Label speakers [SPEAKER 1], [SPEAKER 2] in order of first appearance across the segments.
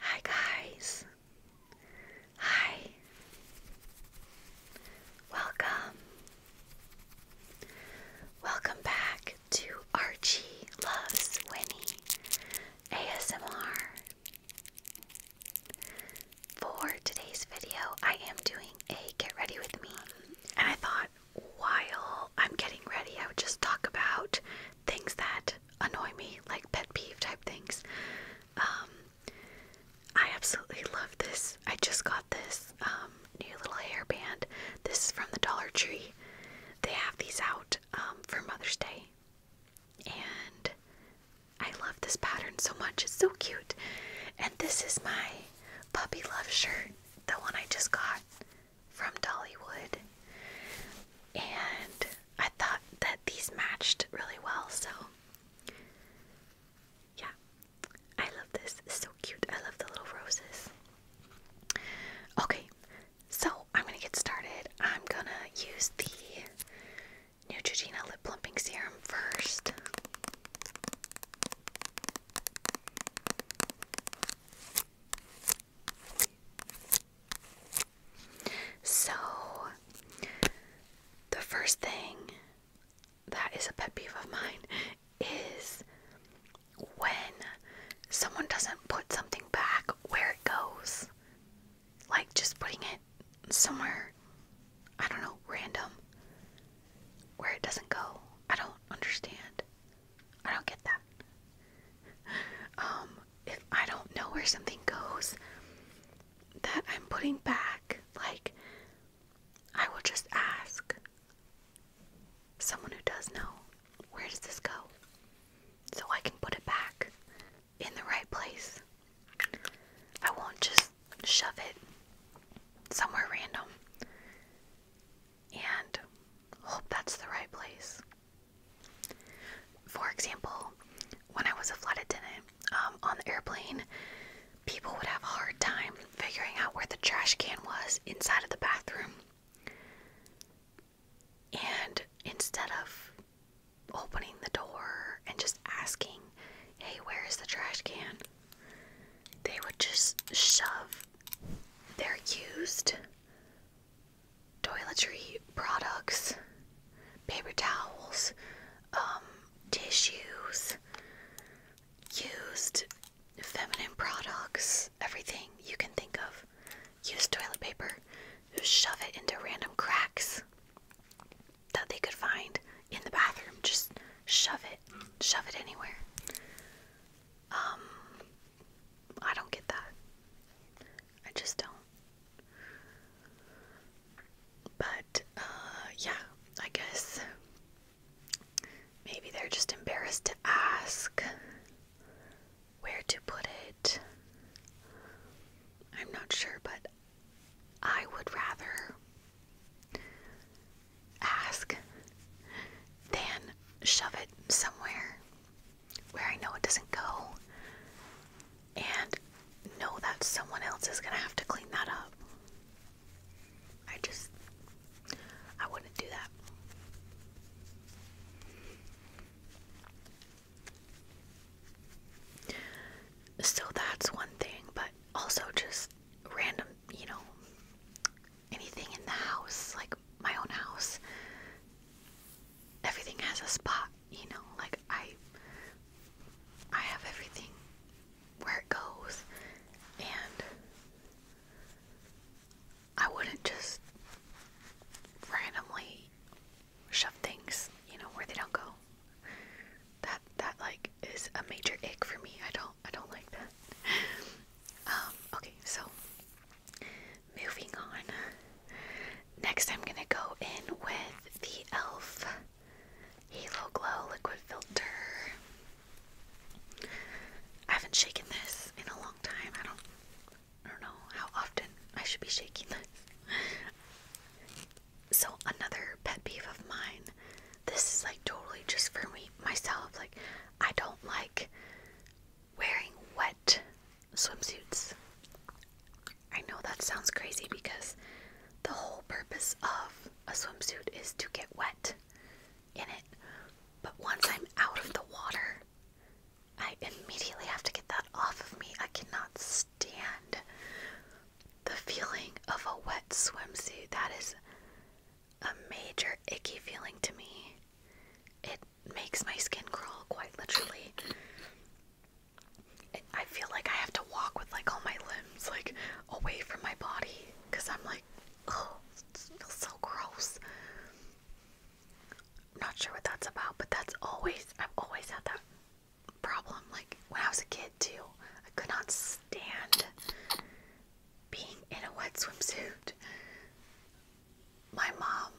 [SPEAKER 1] Hi guys. Hi. Welcome. Welcome back to Archie Loves Winnie ASMR. For today's video, I am doing a get ready with me. And I thought while I'm getting ready, I would just talk about things that annoy me, like pet peeve type things. Um, I absolutely love this. I just got this um, new little hair band. This is from the Dollar Tree. They have these out um, for Mother's Day. And I love this pattern so much. It's so cute. And this is my puppy love shirt, the one I just got from Dollywood, and I thought that these matched really well, so yeah, I love this. so cute. I love the little roses. Okay, so I'm gonna get started. I'm gonna use the Neutrogena Lip Plumping Serum first. So, the first thing that is a pet peeve of mine is when someone doesn't put something back where it goes. Like just putting it somewhere, I don't know, random, where it doesn't go. I don't understand. I don't get that. Um, if I don't know where something goes that I'm putting back, like, I will just ask someone who does know, where does this go? So I can put it back in the right place. I won't just shove it somewhere random and hope that's the right place. For example, when I was a flight attendant um, on the airplane, people would have a hard time figuring out where the trash can was inside of the bathroom. And instead of opening the door and just asking, hey, where is the trash can? They would just shove They're used toiletry products, paper towels, um, tissues, used feminine products, everything you can think of. Use toilet paper, shove it into random cracks that they could find in the bathroom. Just shove it, shove it anywhere. Um, I don't get that. I just don't. But, uh, yeah, I guess maybe they're just embarrassed to ask where to put it. I'm not sure, but I would rather ask than shove it somewhere where I know it doesn't go and know that someone else is going to have to clean that up. I just, I wouldn't do that. So that's one thing, but also just random, you know, anything in the house, like my own house, everything has a spot, you know, like I I have everything where it goes and I wouldn't just randomly shove things, you know, where they don't go. That that like is a major ick for me. I don't I don't like that. Um, okay, so Moving on. Next, I'm gonna go in with the e.l.f. Halo Glow Liquid Filter. I haven't shaken this in a long time. I don't, I don't know how often I should be shaking this. So another pet peeve of mine. This is like totally just for me myself. Like I don't like wearing wet swimsuits. I know that sounds crazy because the whole purpose of a swimsuit is to get wet in it. But once I'm out of the water, I immediately have to get that off of me. I cannot stand the feeling of a wet swimsuit. That is a major icky feeling to me. It makes my skin crawl quite literally. I feel like I have to walk with like all my limbs like away from my body because I'm like, oh, it feels so gross. Not sure what that's about, but that's always I've always had that problem. Like when I was a kid too, I could not stand being in a wet swimsuit my mom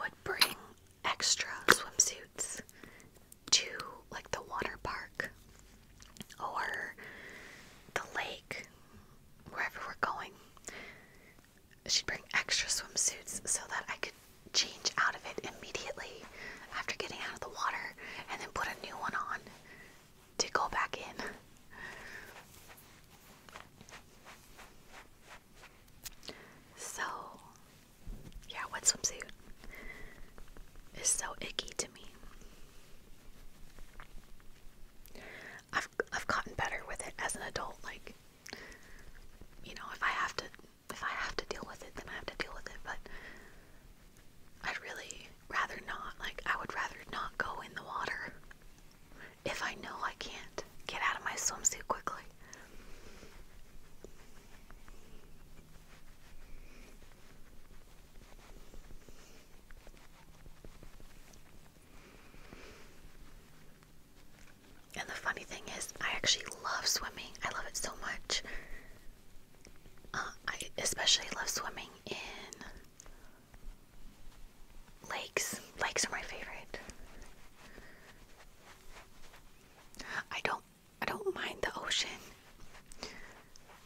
[SPEAKER 1] would bring extra swimsuits to like the water park or the lake, wherever we're going. She'd bring extra swimsuits so that I could change out of it immediately after getting out of the water and then put a new one on to go back in. So, yeah, wet swimsuit is so icky to me. I've I've gotten better with it as an adult. Like, you know, if I have to if I have to deal with it, then I have to deal with it. But I'd really rather not. Like, I would rather not go in the water if I know I can't get out of my swimsuit quickly. And the funny thing is, I actually love swimming. I love it so much. Uh, I especially love swimming in Lakes. Lakes are my favorite. I don't I don't mind the ocean,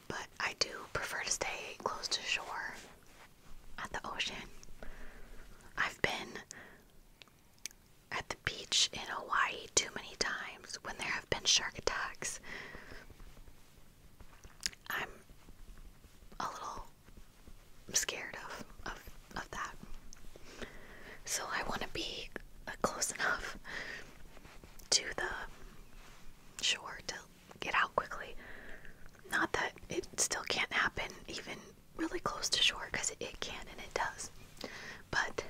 [SPEAKER 1] but I do prefer to stay close to shore at the ocean. I've been at the beach in Hawaii too many times when there have been shark attacks. I'm a little I'm scared of of of that. So I want to be uh, close enough to the shore to get out quickly. Not that it still can't happen even really close to shore because it, can and it does. But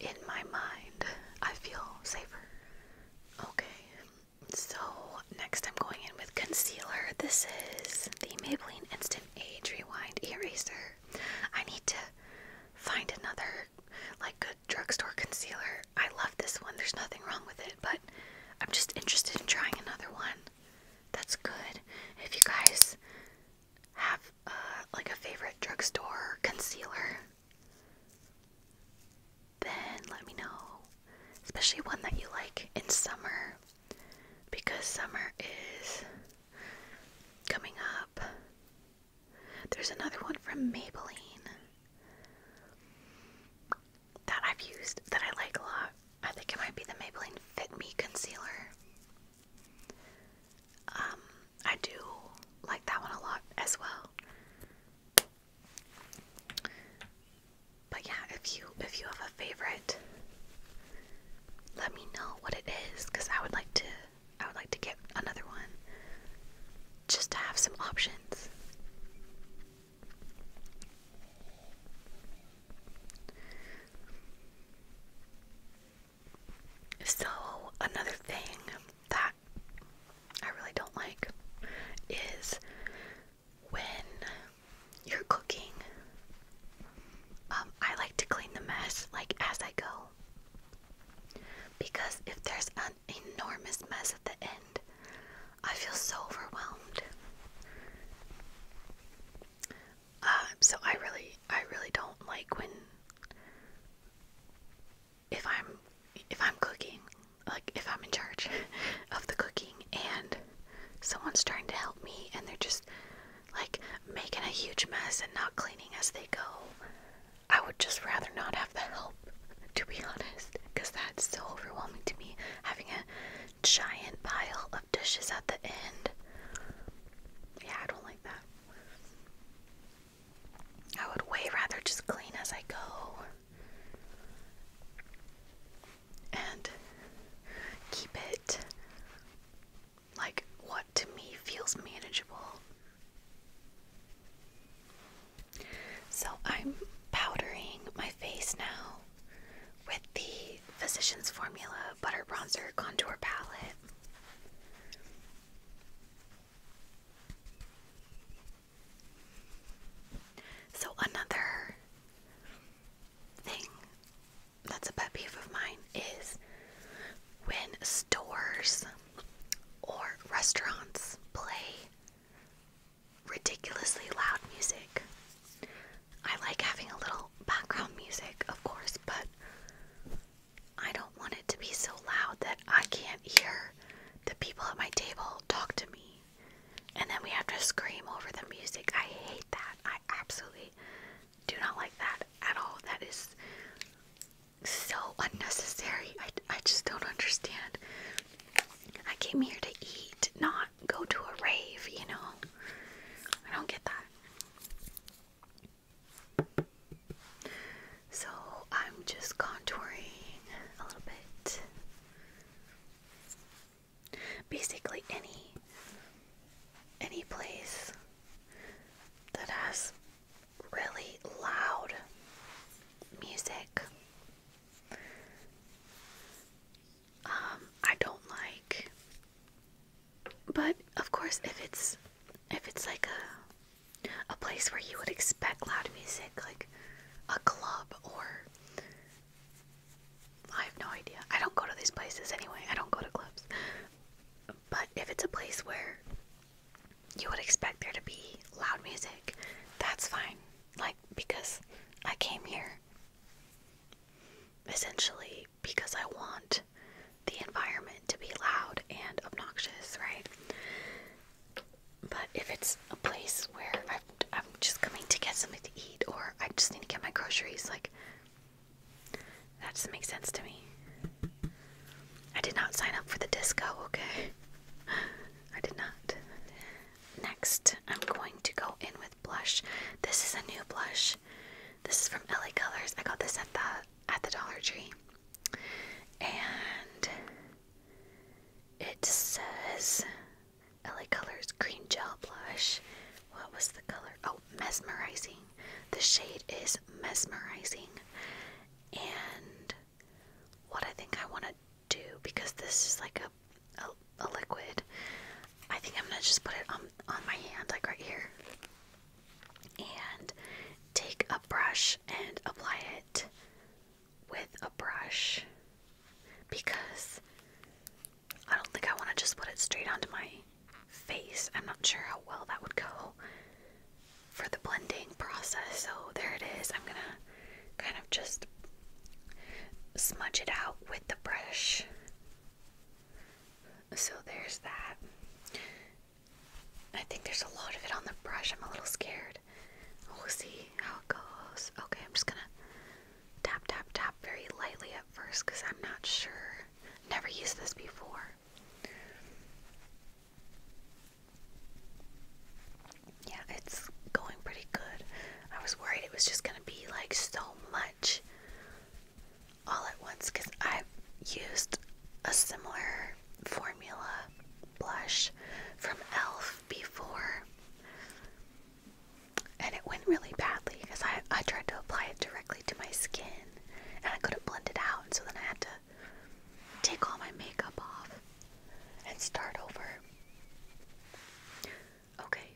[SPEAKER 1] in my mind, I feel safer. Okay, so, next I'm going in with concealer. This is the Maybelline Instant Age Rewind Eraser. I need to find another, like, good drugstore concealer. I love this one, there's nothing wrong with it, but I'm just interested in trying another one that's good. If you guys have, uh, like, a favorite drugstore concealer, then let me know. Especially one that you like in summer because summer is coming up. There's another one from Maybelline that I've used that I like a lot. I think it might be the Maybelline Fit Me Concealer. Um, I do like that one a lot as well. But yeah, if you if you have a favorite, let me know what it is because I would like to I would like to get another one just to have some options. So, another thing that I really don't like is when you're cooking, um, I like to clean the mess like as I go. Because if there's an enormous mess at the end, I feel so overwhelmed. Um, so I really, I really don't like when if I'm if I'm cooking, like if I'm in charge of the cooking and someone's trying to help me and they're just like making a huge mess and not cleaning as they go. I would just rather not have the help, to be honest, because that's so overwhelming to me having a giant pile of dishes at the end. Yeah, I don't like that. I would way rather just clean as I go and keep it like what to me feels manageable. So I'm powdering my face now with the Physicians Formula Butter Bronzer Contour Palette. So, another thing that's a pet peeve of mine is when stores or restaurants play ridiculously loud music. I like having a little background music, of course, but I don't want it to be so loud that I can't hear the people at my table talk to me and then we have to scream over the music. I hate that. I absolutely do not like that at all. That is so unnecessary. I, I just don't understand. I came here to eat, not go to a rave, you know? I don't get that. So I'm just contouring a little bit basically any any place that has really loud music. Um, I don't like. But of course, if it's if it's like a a place where you would expect loud music, like a club or I have no idea. I don't go to these places anyway. I don't go to clubs. But if it's a place where you would expect there to be loud music, that's fine. Like, because I came here essentially because I want the environment to be loud and obnoxious, right? But if it's a place where i I'm just coming to get something to eat, or I just need to get my groceries. Like, that doesn't make sense to me. I did not sign up for the disco, okay? I did not. Next, I'm going to go in with blush. This is a new blush. This is from LA Colors. I got this at the at the Dollar Tree. And it says LA Colors Green Gel Blush. What was the color? Oh, Mesmerizing. The shade is Mesmerizing. And what I think I want to do, because this is like a, a, liquid, I think I'm going to just put it on, on my hand, like right here. And take a brush and apply it with a brush because I don't think I want to just put it straight onto my face. I'm not sure how well that would go for the blending process. So there it is. I'm going to kind of just smudge it out with the brush. So there's that. I think there's a lot of it on the brush. I'm a little scared. We'll see how it goes. Okay, I'm just gonna tap tap tap very lightly at first because I'm not sure. Never used this before. Yeah, it's going pretty good. I was worried it was just going to be like so much all at once because I've used a similar formula blush from e.l.f. before and it went really badly because I, I tried to apply it directly to my skin and I couldn't blend it out. so then I had to take all my makeup off and start over. Okay,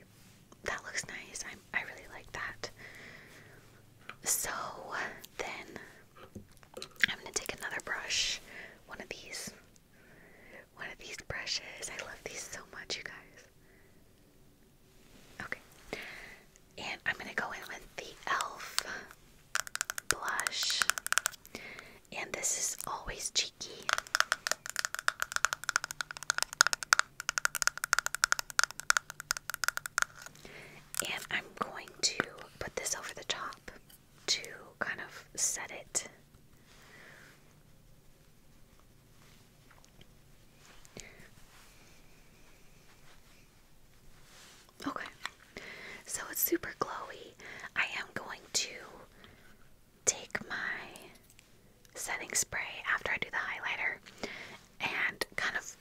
[SPEAKER 1] that looks nice. I, I really like that. So then I'm going to take another brush, one of these. One of these brushes. I love these so much, you guys. Okay. And I'm going to go in with the e.l.f. blush. And this is always cheeky. And I'm going to put this over the top to kind of set it. Okay, so it's super glowy. I am going to take my setting spray after I do the highlighter and kind of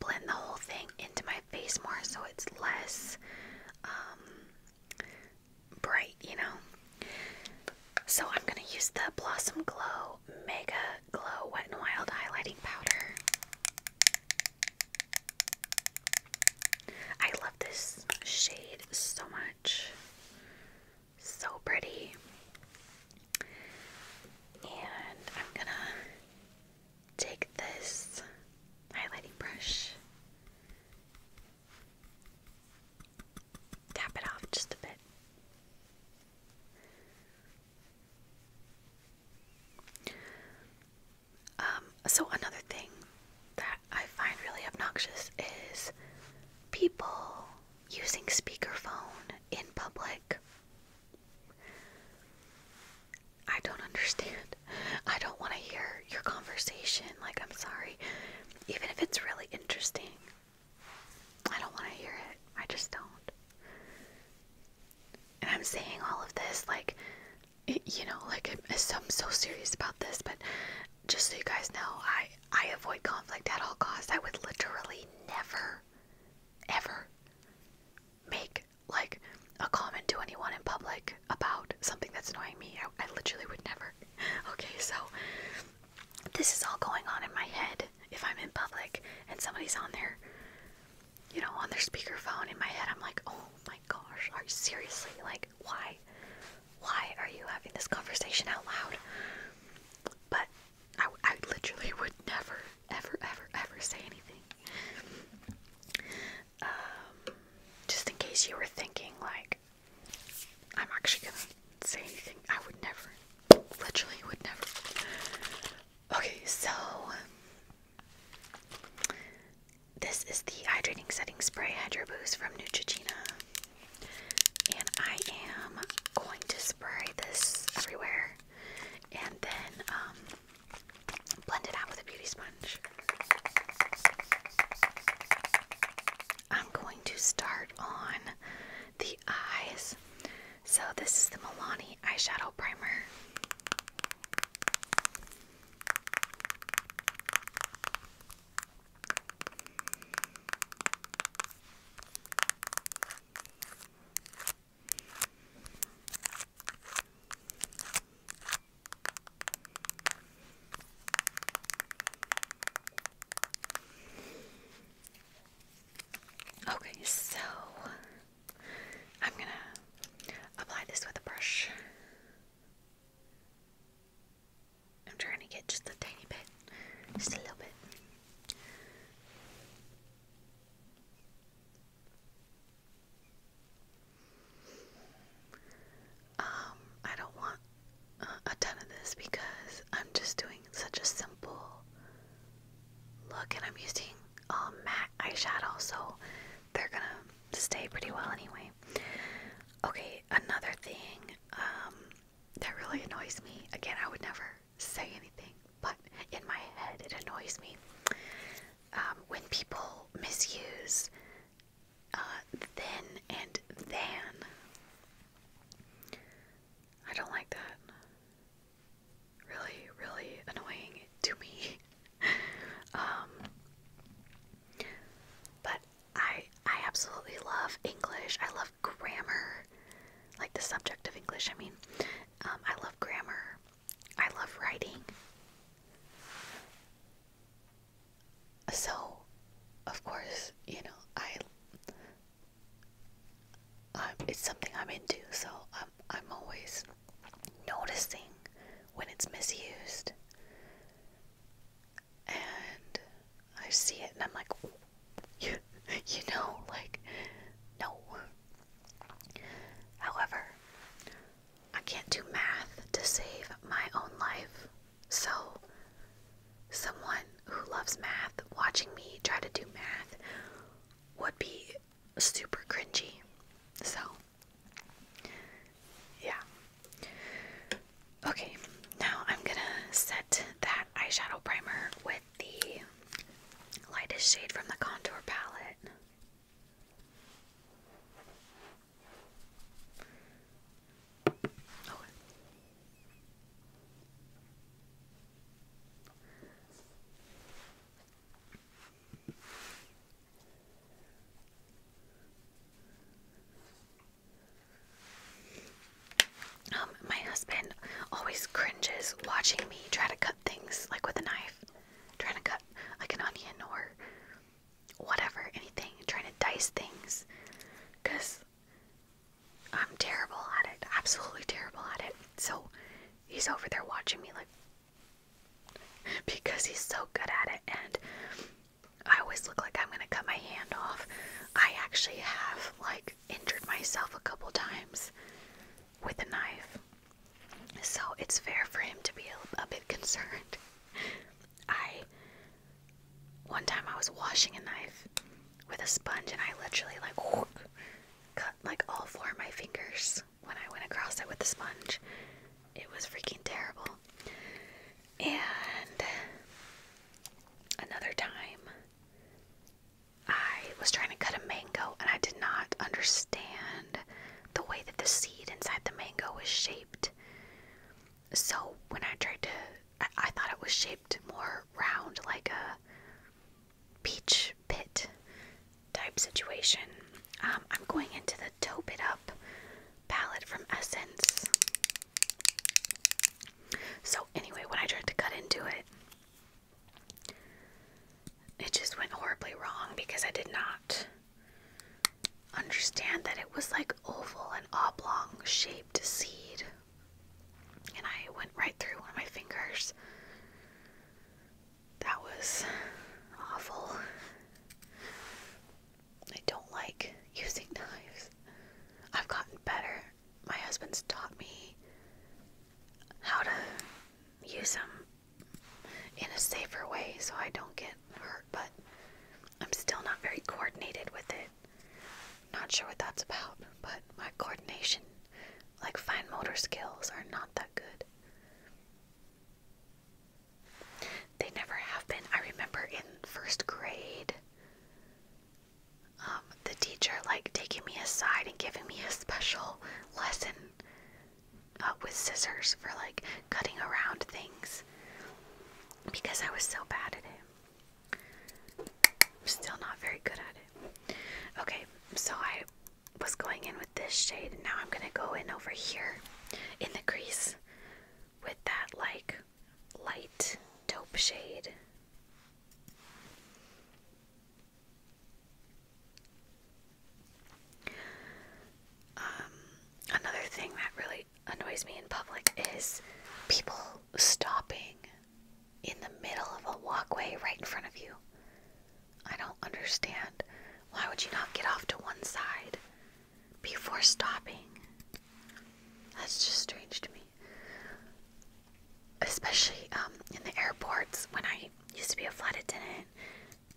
[SPEAKER 1] blend the whole thing into my face more so it's less um, bright, you know? So I'm going to use the Blossom Glow Mega Glow Wet n Wild Highlighting Powder. I love this shade so much. So pretty. And I'm going to take this highlighting brush. Tap it off just a bit. Um, so another thing that I find really obnoxious is people using speakerphone in public. I don't understand. I don't want to hear your conversation. Like, I'm sorry. Even if it's really interesting, I don't want to hear it. I just don't. And I'm saying all of this like, you know, like I'm, so serious about this, but just so you guys know, I I avoid conflict at all costs. I would literally never, ever make like a comment to anyone in public about something that's annoying me. I literally would never. Okay, so this is all going on in my head if I'm in public and somebody's on their, you know, on their speakerphone in my head, I'm like, oh my gosh, are you seriously? Like, why? Why are you having this conversation out loud? But I, I literally would never, ever, ever, ever say anything. Um, just in case you were thinking, like, I'm actually gonna say anything. I would never. Literally would never. Okay, so um, this is the hydrating setting spray Hydro Boost from Neutrogena. And I am going to spray this everywhere and then um, blend it out with a beauty sponge. I'm going to start on the eyes so this is the Milani eyeshadow primer. Okay, so I'm gonna apply this with a brush. I'm trying to get just a tiny bit, just a little bit. Um, I don't want a, ton of this because I'm just doing such a simple look and I'm using a um, MAC eyeshadow so they're gonna stay pretty well anyway. Okay, another thing um, that really annoys me, again I would never say anything but in my head it annoys me um, when people misuse uh, thin and than. I don't like that really, really annoying to me. Um, but I I absolutely love English. I love grammar, like the subject of English. I mean, um, I love grammar. I love writing. So, of course, you know I it's something I'm into, so I'm I'm always noticing when it's misused, and I see it, and I'm like, you, you know, like, no. However, I can't do math to save my own life, so someone who loves math watching me try to do math would be super cringy. So, yeah. Okay, now I'm gonna set that eyeshadow primer with the lightest shade from the contour palette. Oh, um, my husband always cringes watching me try to cut things like with a knife, trying to cut like an onion or whatever, anything, trying to dice things because I'm terrible at it. Absolutely terrible at it. So he's over there watching me like because he's so good at it and I always look like I'm gonna cut my hand off. I actually have like injured myself a couple times with a knife. So it's fair for him to be a, bit concerned. I one time I was washing a knife with a sponge, and I literally like cut like all four of my fingers when I went across it with the sponge. It was freaking terrible. And another time, I was trying to cut a mango, and I did not understand the way that the seed inside the mango was shaped. So when I tried to, I thought it was shaped more round, like a peach pit type situation. Um, I'm going into the Taupe It Up palette from Essence. So, anyway, when I tried to cut into it, it just went horribly wrong because I did not understand that it was like oval and oblong shaped seed and I went right through one of my fingers. That was awful. I don't like using knives. I've gotten better. My husband's taught me how to use them in a safer way so I don't get hurt, but I'm still not very coordinated with it. Not sure what that's about, but my coordination like, fine motor skills are not that good. They never have been. I remember in first grade, um, the teacher like taking me aside and giving me a special lesson uh, with scissors for like cutting around things because I was so bad at it. I'm still not very good at it. Okay, so I was going in with this shade, and now I'm gonna go in over here in the crease with that like light dope shade. Um, another thing that really annoys me in public is people stopping in the middle of a walkway right in front of you. I don't understand. Why would you not get off to one side before stopping? That's just strange to me. Especially um, in the airports, when I used to be a flight attendant,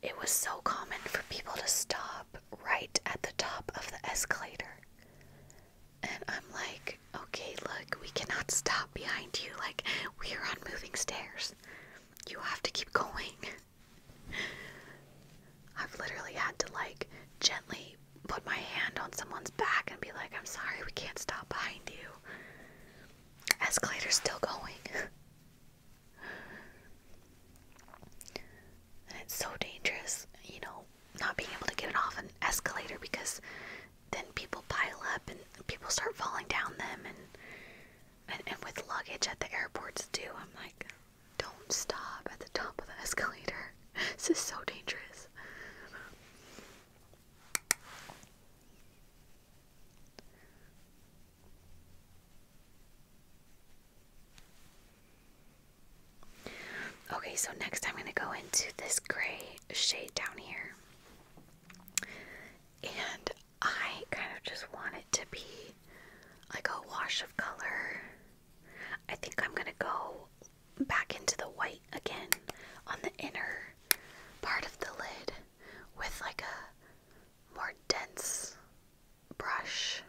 [SPEAKER 1] it was so common for people to stop right at the top of the escalator. And I'm like, okay, look, we cannot stop behind you. Like, we are on moving stairs. You have to keep going. I've literally had to, like, gently put my hand on someone's back and be like, I'm sorry, we can't stop behind you. Escalator's still going. and it's so dangerous, you know, not being able to get it off an escalator because then people pile up and people start falling down them and and, and with luggage at the airports too. I'm like, don't stop at the top of the escalator. This is so dangerous. Okay, so next I'm going to go into this gray shade down here and I kind of just want it to be like a wash of color. I think I'm gonna go back into the white again on the inner part of the lid with like a more dense brush.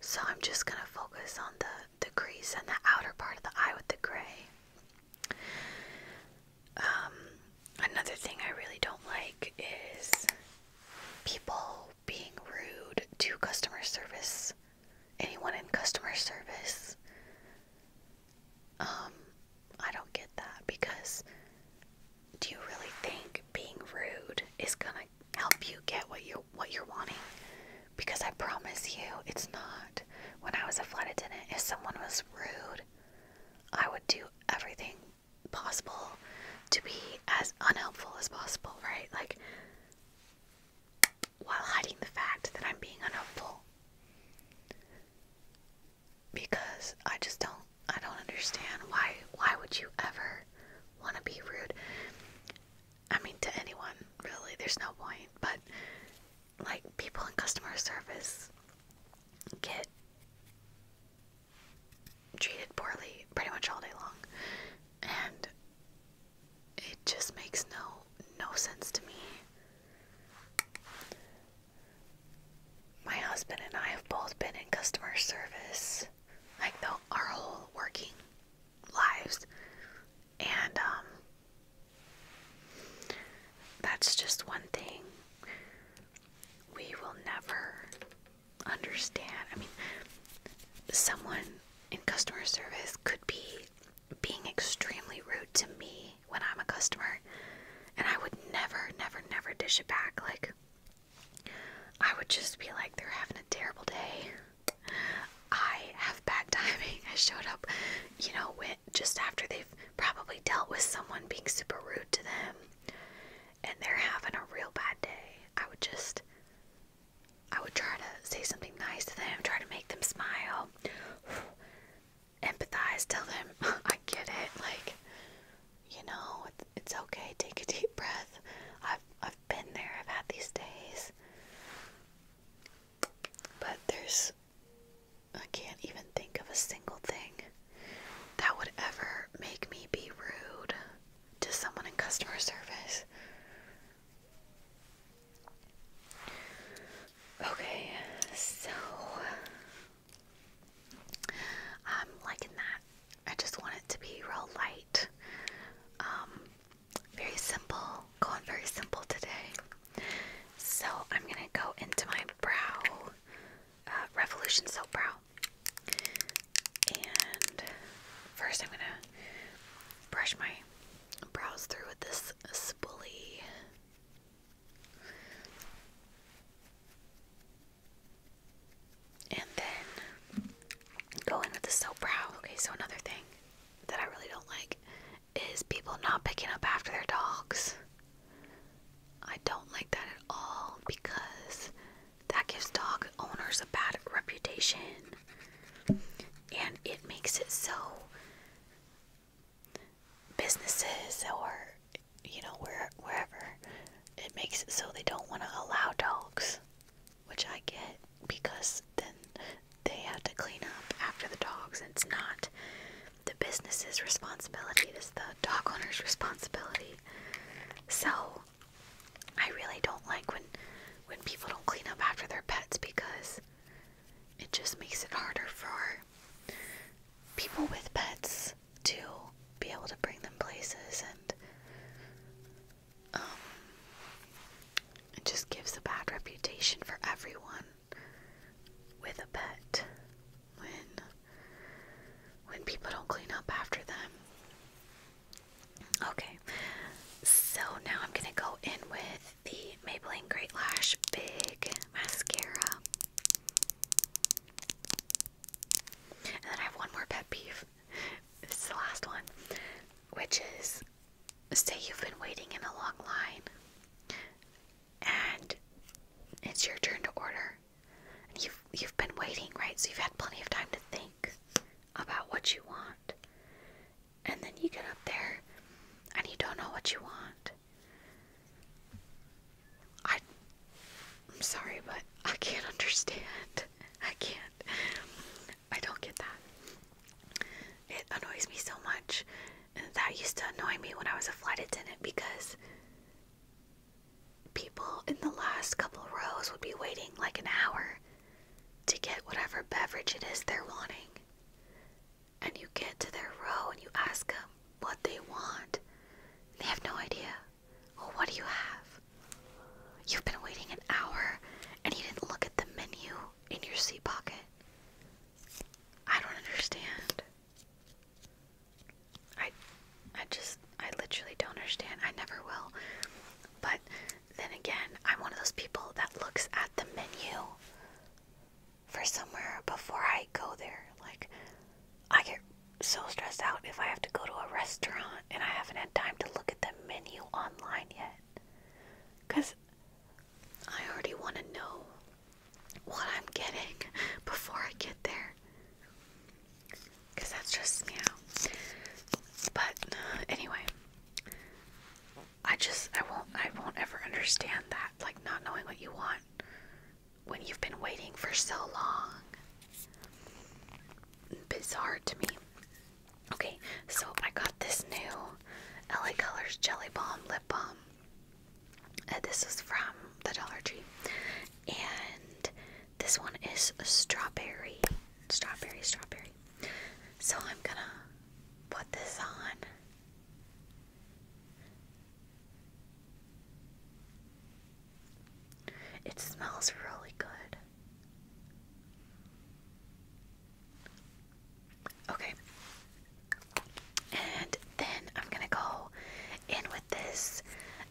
[SPEAKER 1] So I'm just gonna focus on the the crease and the outer part of the eye with the gray. Um, another thing I really don't like is people being rude to customer service. Anyone in customer service. Um, I don't get that because do you really think being rude is gonna help you get what you what you're wanting? Because I promise you, it's not. When I was a flight attendant, if someone was rude, I would do everything possible to be as unhelpful as possible, right? Like, while hiding the fact that I'm being unhelpful. Because I just don't, I don't understand why, why would you ever want to be rude? I mean, to anyone, really, there's no point, but like people in customer service get treated poorly pretty much all day long and it just makes no no sense to me my husband and i have both been in customer service like the, our whole working lives and um that's just one thing we will never understand. I mean, someone in customer service could be being extremely rude to me when I'm a customer, and I would never, never, never dish it back. Like, I would just be like, they're having a terrible day. I have bad timing. I showed up, you know, just after they." probably dealt with someone being super rude to them and they're having a real bad day. I would just I would try to say something nice to them, try to make them smile, empathize, tell them I get it, like you know, it's okay. Take a deep breath. I've I've been there. I've had these days. But there's I can't even think of a single thing that would ever make me be rude to someone in customer service. Okay, so I'm um, liking that. I just want it to be real light. Um, very simple. Going very simple today. So I'm gonna go into my brow, uh, Revolution Soap Brow. And first I'm gonna brush my brows through with this spoolie. And then go in with the soap brow. Okay, so another thing that I really don't like is people not picking up after their dogs. I don't like that at all because that gives dog owners a bad reputation and it makes it so businesses or you know where wherever it makes it so they don't want to allow dogs which I get because then they have to clean up after the dogs and it's not the business's responsibility, it is the dog owner's responsibility. So I really don't like when when people don't clean up after their pets because it just makes it harder for people with pets to be able to bring them places and um, it just gives a bad reputation for everyone with a pet when when people don't clean up after them. Okay. So now I'm going to go in with the Maybelline Great Lash Big Mascara. And then I have one more pet peeve. This is the last one, which is say you've been waiting in a long line and it's your turn to order. And you've you've been waiting, right? So you've had plenty of time to think about what you want. And then you get up there and you don't know what you want. I I'm sorry, but I can't understand. I can't. I don't get that. It annoys me so much that used to annoy me when I was a flight attendant because people in the last couple rows would be waiting like an hour to get whatever beverage it is they're wanting. And you get to their row and you ask them what they want. They have no idea. Well, what do you have? You've been waiting an hour and you didn't look at the menu in your seat pocket. I don't understand. I I just I literally don't understand. I never will. But then again, I'm one of those people that looks at the menu for somewhere before I go there. Like I get so stressed out if I have to go to a restaurant and I haven't had time to look at the menu online yet. Cuz I already want to know what I'm getting before I get there. Because that stresses me But uh, anyway, I just I won't I won't ever understand that like not knowing what you want when you've been waiting for so long. Bizarre to me. Okay, so I got this new LA Colors Jelly Balm Lip Balm. Uh, this is from the Dollar Tree, and this one is strawberry, strawberry, strawberry. So I'm gonna put this on. It smells really good. Okay, and then I'm going to go in with this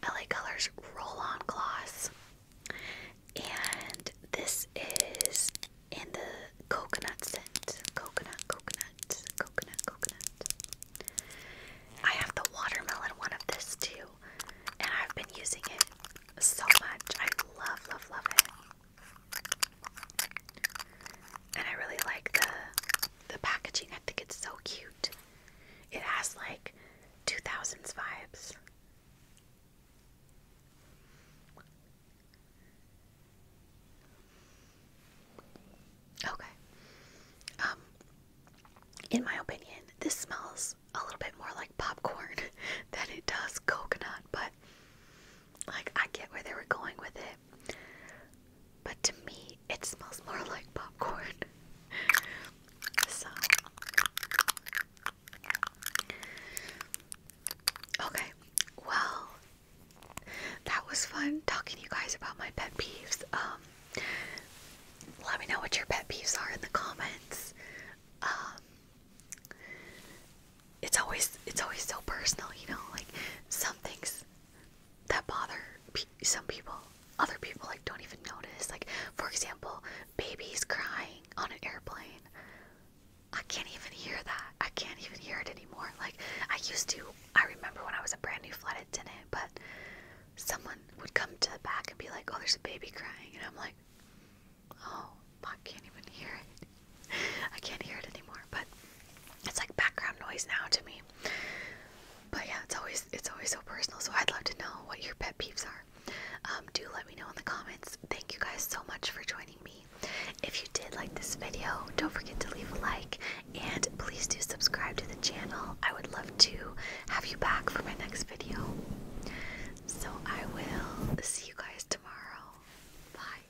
[SPEAKER 1] LA Colors Roll On Gloss. And this is in the coconut scent. Coconut, coconut, coconut, coconut. I have the watermelon one of this too. And I've been using it so much. I love, love, love it. And I really like the the packaging, I think it's so cute. It has like 2000s vibes. Okay. Um, in my opinion, this smells a little bit more like popcorn than it does coconut, but like I get where they were going with it. But to me, it smells more like popcorn. Okay, well, that was fun talking to you guys about my pet peeves. Um, let me know what your pet peeves are in the comments. Um, it's always it's always so personal, you know. Like some things that bother some people. Other people like don't even notice. Like for example, babies crying on an airplane. I can't even hear that. I can't even hear it anymore. Like I used to. I remember when I was a brand new flight attendant, but someone would come to the back and be like, "Oh, there's a baby crying," and I'm like, "Oh, I can't even hear it. I can't hear it anymore." But it's like background noise now to me. But yeah, it's always it's always so personal. So I'd love to know what your pet peeves are. Um, do let me know in the comments. Thank you guys so much for joining me. If you did like this video, don't forget to leave a like and please do subscribe to the channel. I would love to have you back for my next video. So I will see you guys tomorrow. Bye.